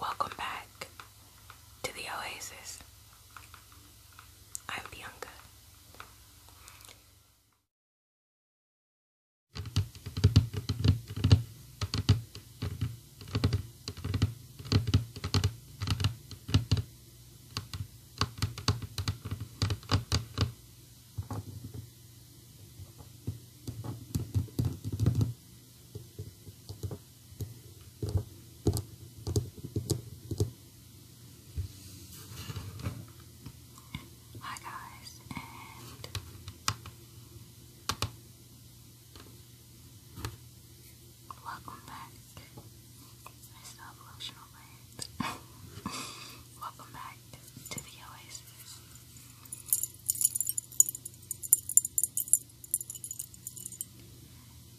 Welcome back to the Oasis. I'm Bianca. Hi guys, and welcome back. I still have lotion on welcome back to the Oasis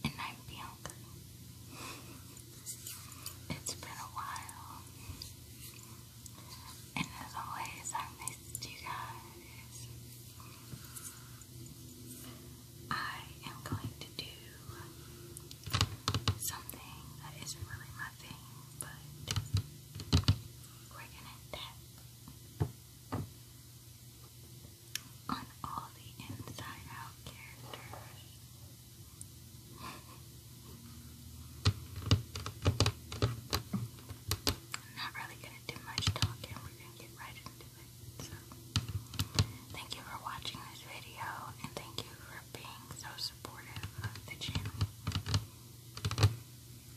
and I'm Bianca. it's been a while. And as always, I missed you guys. I am going to do something that isn't really my thing, but we're gonna tap on all the inside out characters. not really going to do much talking, we're going to get right into it. So, thank you for watching this video, and thank you for being so supportive of the channel.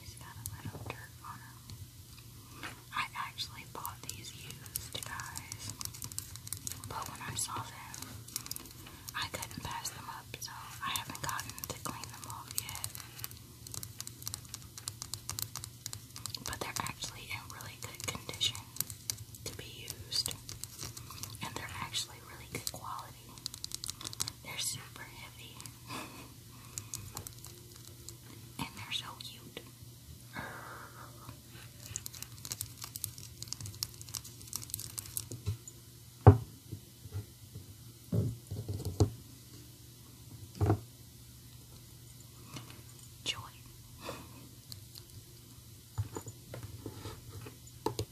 He's got a little dirt on him. I actually bought these used, guys. But when I saw them, I couldn't pass them up, so I haven't gotten to clean them off yet. But they're actually in really good condition to be used. And they're actually really good quality. They're super heavy. and they're so cute. Joy.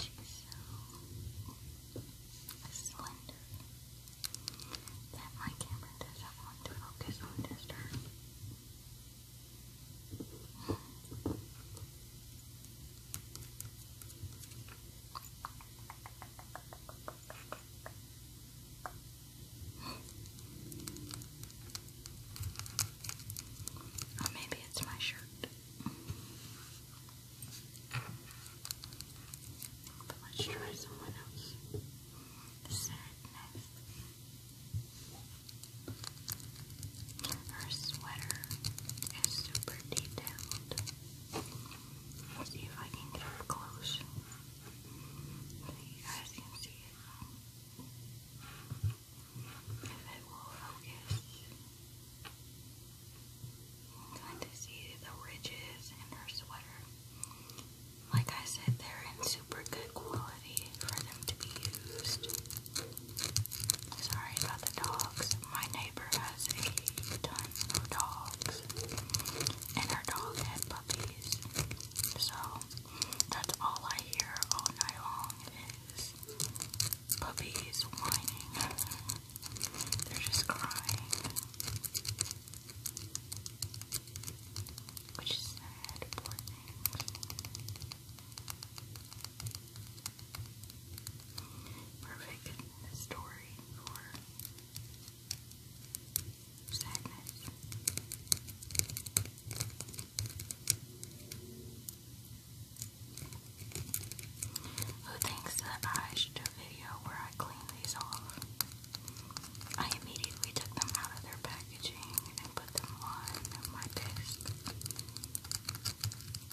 She's so slender that my camera doesn't want to focus on just her. or maybe it's my shirt. But let's try someone else. The sadness. Her sweater is super detailed. see if I can get up close. So you can see it if it will focus. I'm going to see the ridges in her sweater. Like I said, they're in super good quality for them to be used. Sorry about the dogs. My neighbor has a ton of dogs, and her dog had puppies. So that's all I hear all night long is puppies whining. They're just crying. Which is sad, poor things. Perfect story for sadness. Who thinks that I should do a video where I clean these off? I immediately took them out of their packaging and put them on my desk.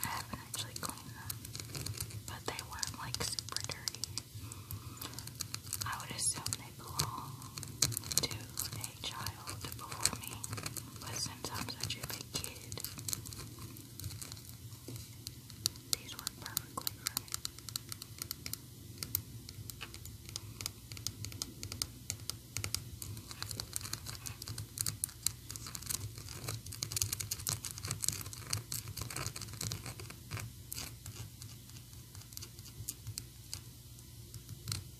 I haven't actually cleaned them, but they weren't like super dirty. I would assume they belong to a child before me, but since I'm such a big kid, these work perfectly for me. I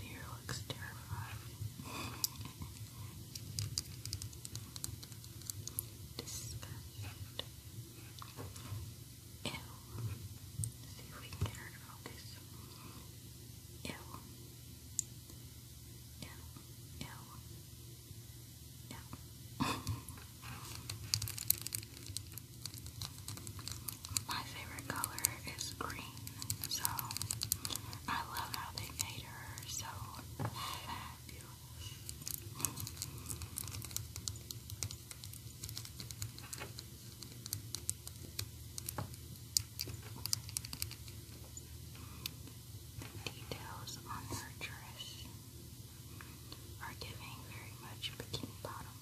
Fear looks terrifying. Disgust. Ew. Let's see if we can get her to focus. Ew. Ew. Ew. Ew. My favorite color is green, so I love how they made her so fabulous. Details on her dress are giving very much bikini bottom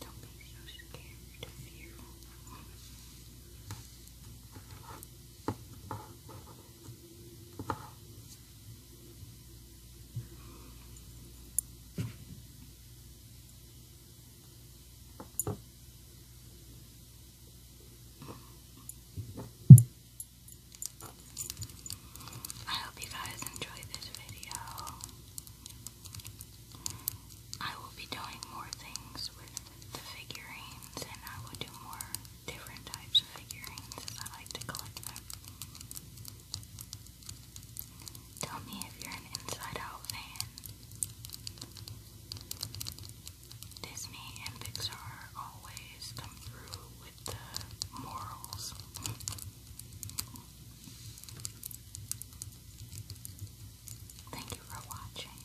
Don't be so scared and fearful. Relax. I hope you guys enjoy this video. I will be doing more things with the figurines, and I will do more different types of figurines I like to collect them. Tell me if you're an Inside Out fan. Disney and Pixar always come through with the morals. Thank you for watching.